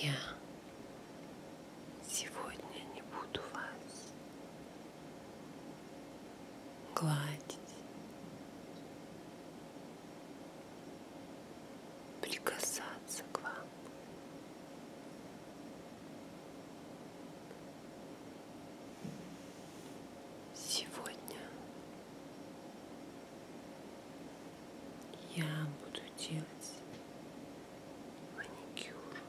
Я сегодня не буду вас гладить, прикасаться к вам. Сегодня я буду делать маникюр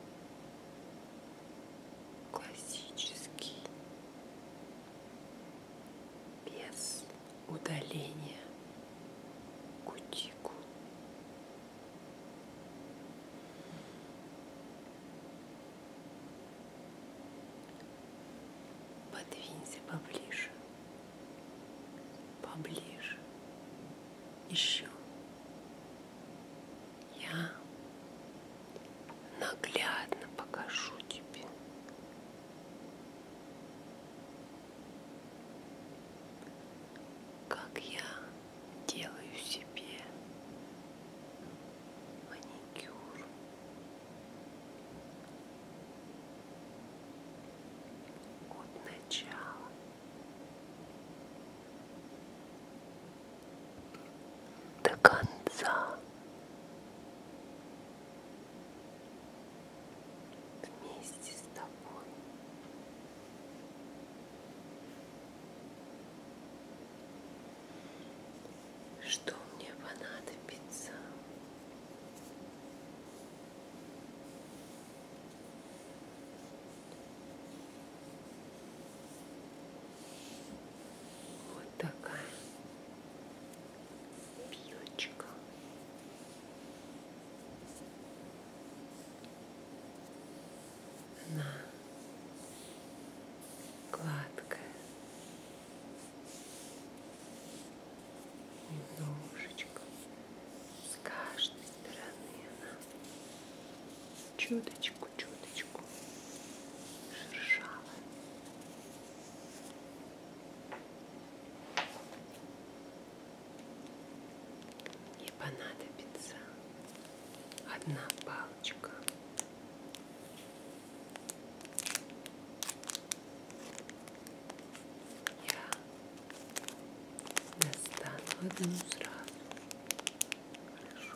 классический без удаления кутикул Подвинься поближе, поближе, еще. Я наглядно покажу тебе, как я делаю себе маникюр. От начала. До конца вместе с тобой что мне понадобится? Вот такая пьючка на гладкое, немножечко с каждой стороны она чуточку, чуточку шершавая. Мне понадобится одна палочка. Я достану одну сразу. Хорошо.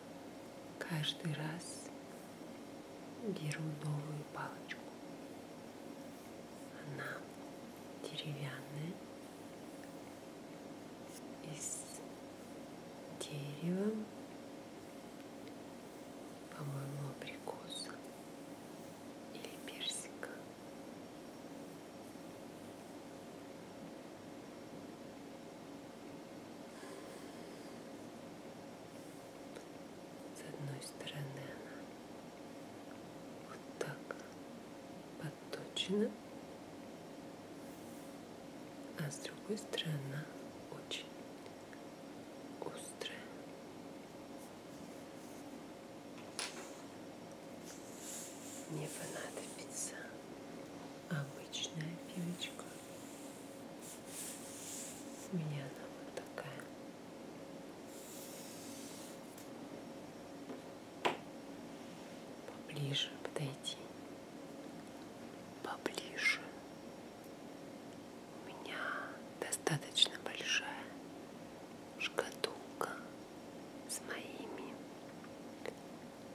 Каждый раз беру новую палочку. Она деревянная, из дерева, по-моему, абрикоса или персика. С одной стороны она вот так подточена, а с другой стороны она очень острая. Мне понадобится обычная пилочка. У меня она вот такая. Поближе подойти. Поближе. У меня достаточно большая шкатулка с моими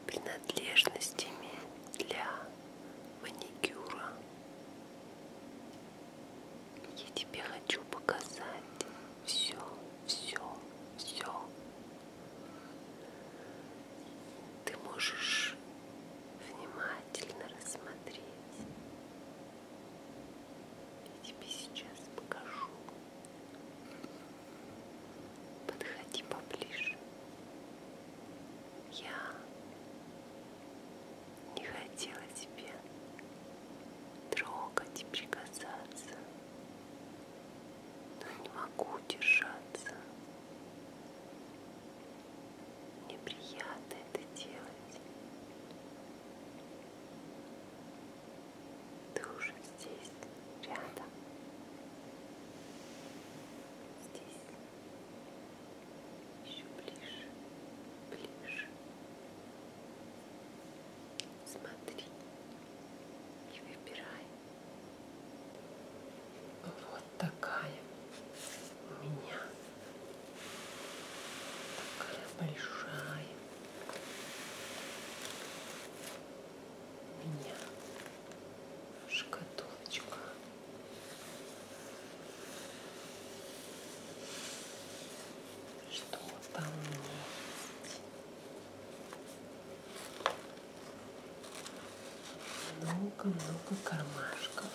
принадлежностями для маникюра. Я тебе хочу показать все, все, все. Ты можешь внимательно рассмотреть. Я тебе сейчас покажу. Подходи поближе. Я не хотела тебе трогать и прикасаться, но не могу держаться. Мне приятно это делать. Ты уже здесь, рядом, здесь, еще ближе, ближе. Смотри и выбирай. Вот такая у меня. Такая большая меня шкатулочка. Что там есть? Много-много кармашков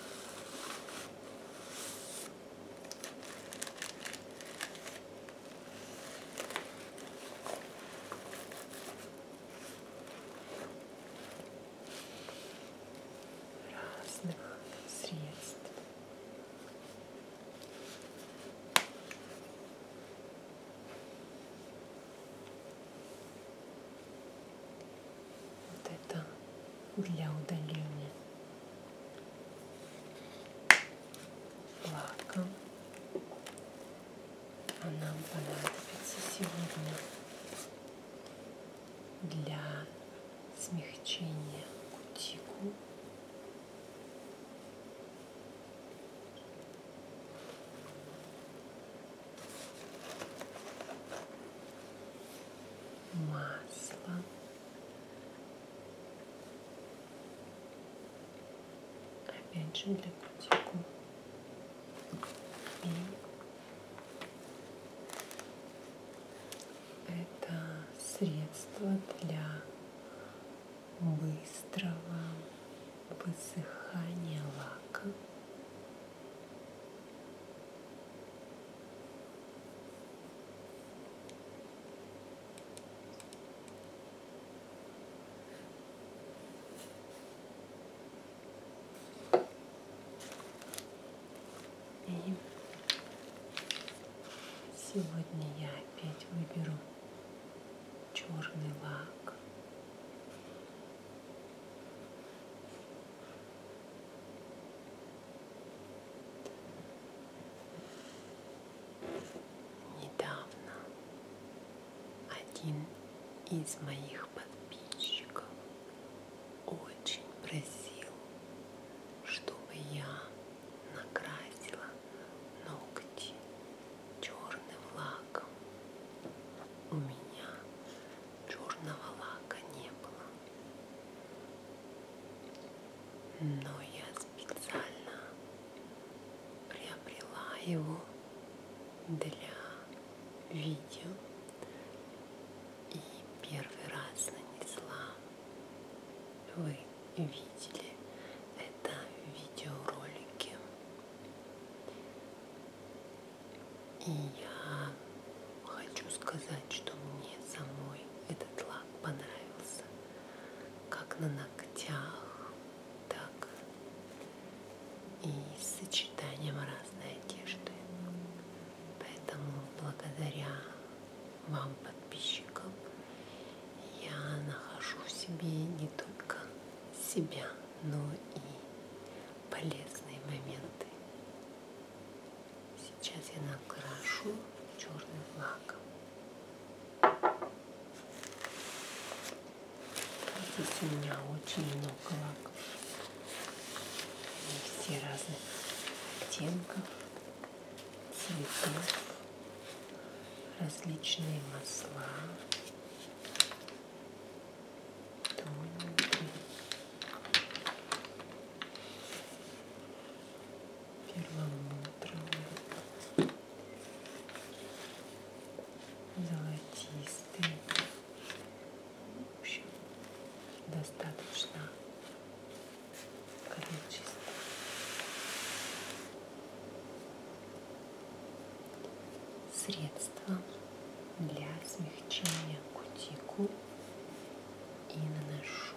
разных средств. Вот это для удаления лаком а нам понадобится сегодня для смягчения кутикул масло опять же для крутику и это средство для быстрого высыхания лака и сегодня я опять выберу черный лак недавно один из моих подписчиков очень просил, чтобы я накрасила ногти черным лаком. У меня черного лака не было. Но я специально приобрела его для видео и первый раз нанесла. Вы видели это в видеоролике. И я хочу сказать, что мне самой этот лак понравился, как на ногтях, так и с сочетанием разной одежды. Поэтому благодаря вам, подписчикам, я нахожу в себе не только себя, но и полезные моменты. Сейчас я накрашу черным лаком. Здесь у меня очень много лаков. Они все разных оттенков, цветов, различные масла. Тоненькие. Перламутровые золотистые. В общем, достаточно количество. Средства для смягчения кутикул и наношу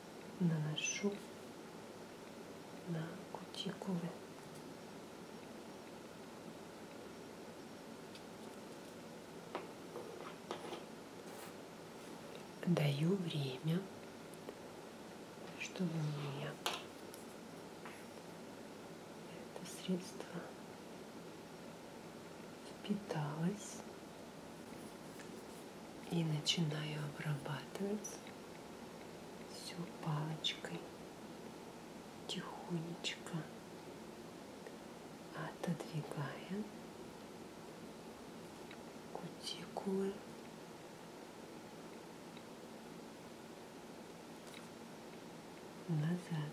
наношу на кутикулы. Даю время, чтобы у меня это средство впиталось и начинаю обрабатывать все палочкой тихонечко отодвигая кутикулы назад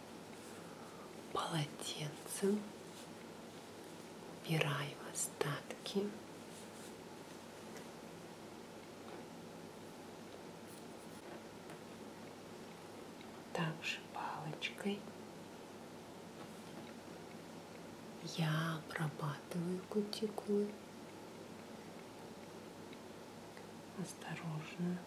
полотенцем убираем остатки. Также палочкой я обрабатываю кутикулы осторожно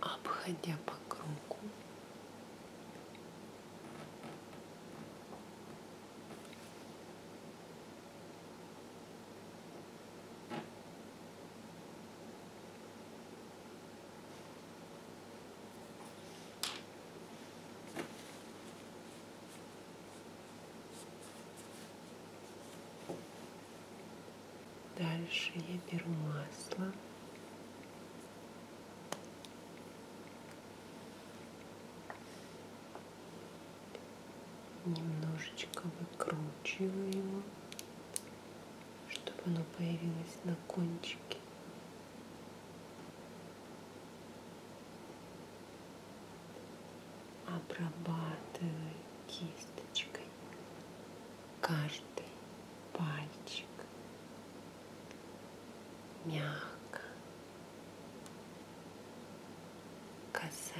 обходя по кругу, Дальше я беру масло. Немножечко выкручиваю его, чтобы оно появилось на кончике обрабатываю кисточкой каждый пальчик мягко, касаясь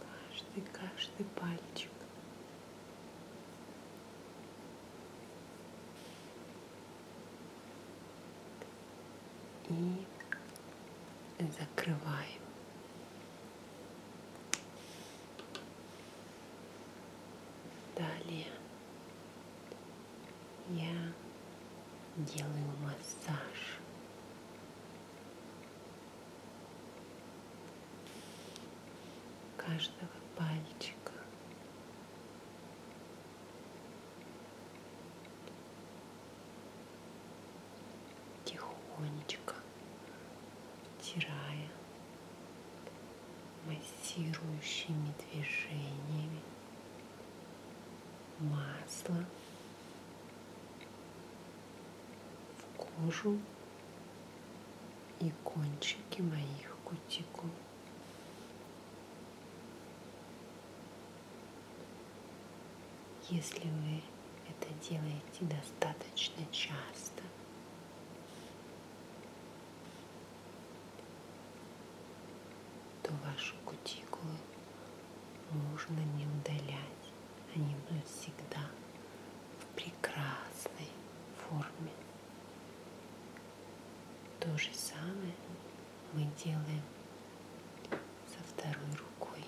Каждый, каждый пальчик. И закрываем. Далее я делаю массаж. каждого пальчика. Тихонечко втирая массирующими движениями масло в кожу и кончики моих кутикул. Если вы это делаете достаточно часто, то ваши кутикулы можно не удалять. Они будут всегда в прекрасной форме. То же самое мы делаем со второй рукой.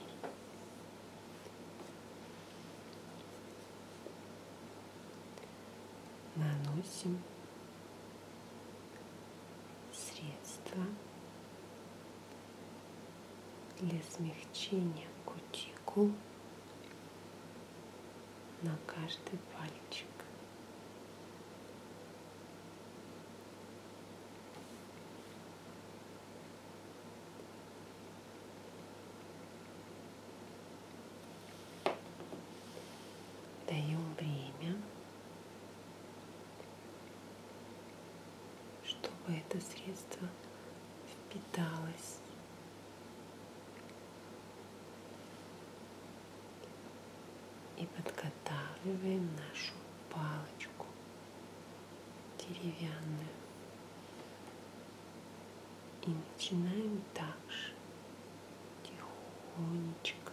Наносим средство для смягчения кутикул на каждый пальчик. Даем время чтобы это средство впиталось. И подготавливаем нашу палочку деревянную. И начинаем также тихонечко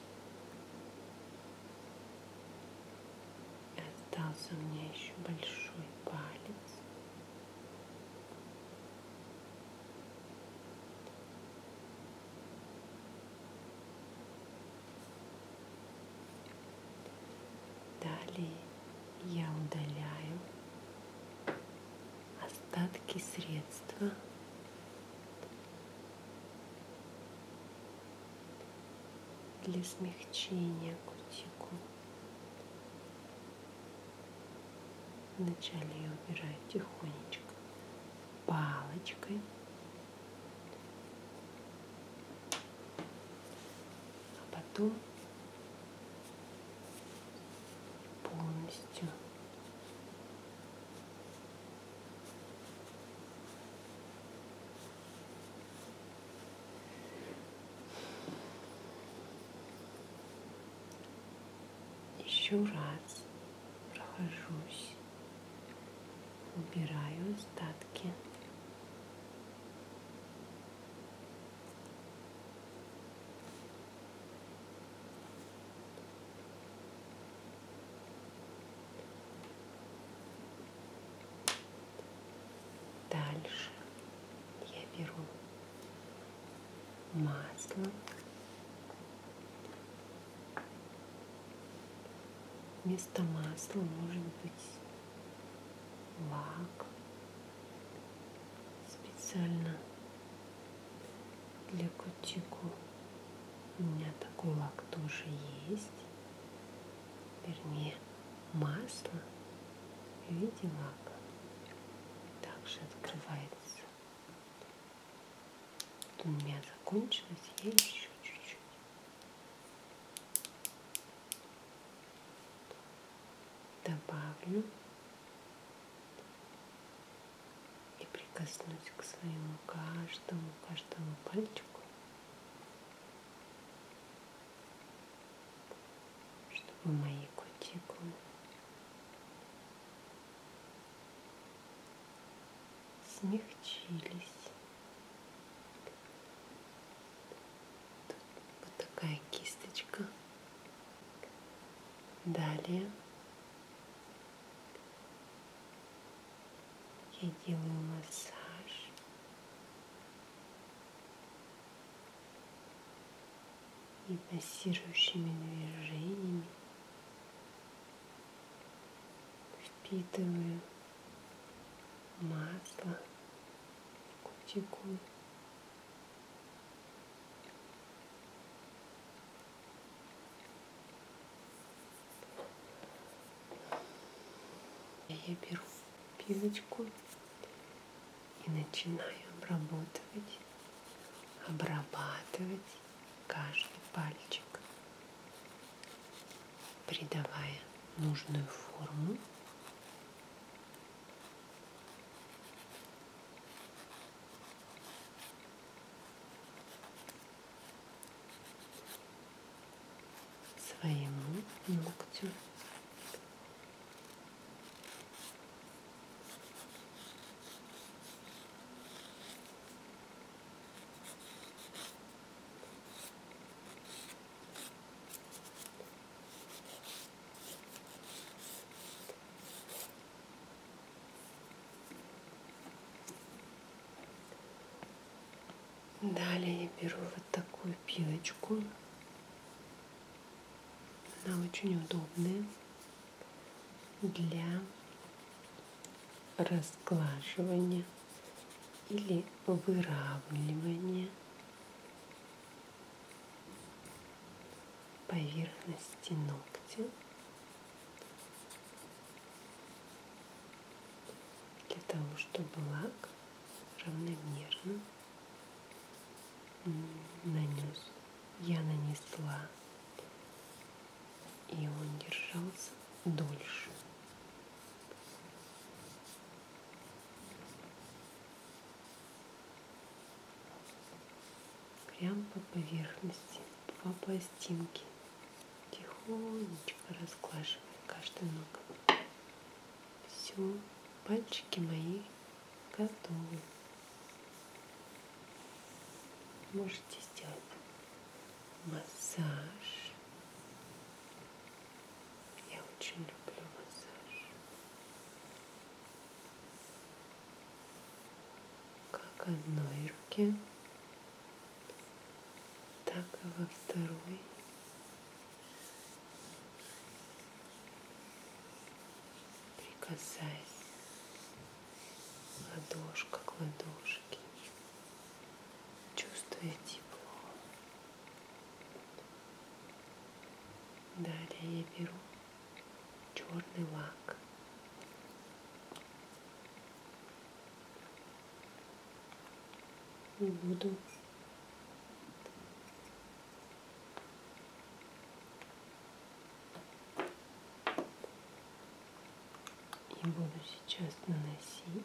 И остался у меня еще большой палец. Далее я удаляю остатки средства для смягчения кутикул. Вначале я убираю тихонечко палочкой. А потом полностью еще раз прохожусь, убираю остатки. Дальше я беру масло. Вместо масла может быть лак. Специально для кутику. У меня такой лак тоже есть. Вернее, масло в виде лака. Также открывается. Вот у меня закончилось, я еще чуть-чуть. Добавлю и прикоснусь к своему каждому, каждому пальчику, чтобы мои кутикулы смягчились. Тут вот такая кисточка. Далее я делаю массаж. И массирующими движениями впитываю масло в кутикулу. Я беру пилочку и начинаю обработать, обрабатывать каждый пальчик, придавая нужную форму своему ногтю. Далее я беру вот такую пилочку. Она очень удобная для разглаживания или выравнивания поверхности ногтя для того, чтобы лак равномерно нанес. Я нанесла, и он держался дольше прямо по поверхности, по пластинке, тихонечко расклашивая каждую ногу. Все, пальчики мои готовы. Можете сделать массаж. Я очень люблю массаж как одной руке, так и во второй. Прикасайся ладошка к ладошке, чувствуя тепло. Далее я беру черный лак. И буду и буду сейчас наносить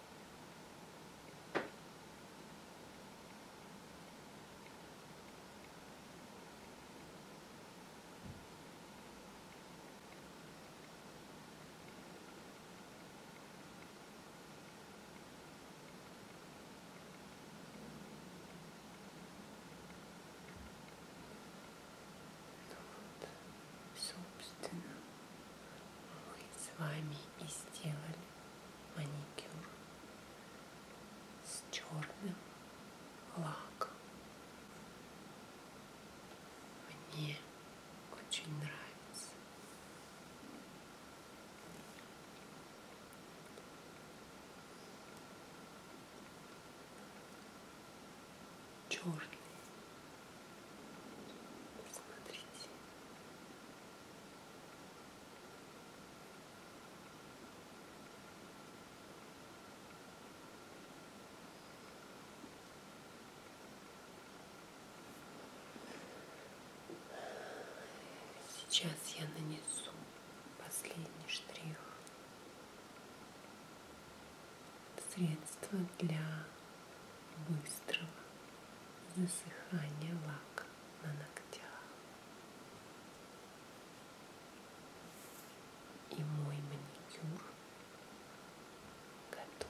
Ну вот, собственно, мы с вами и сделали маникюр с черным лаком. Мне очень нравится. Черный. Смотрите. Сейчас я нанесу последний штрих средства для быстрого засыхания лака на ногтях. И мой маникюр готов.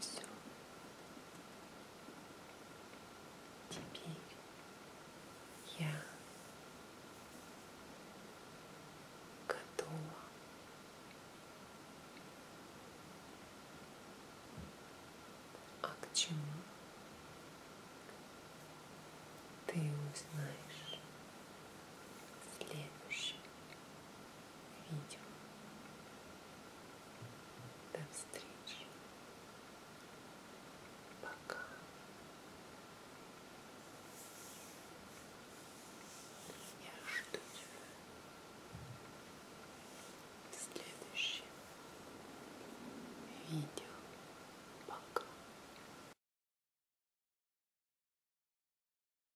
Все. Теперь я готова а к чему ты узнаешь в следующем видео. До встречи. Пока. Я жду тебя в следующем видео. Пока.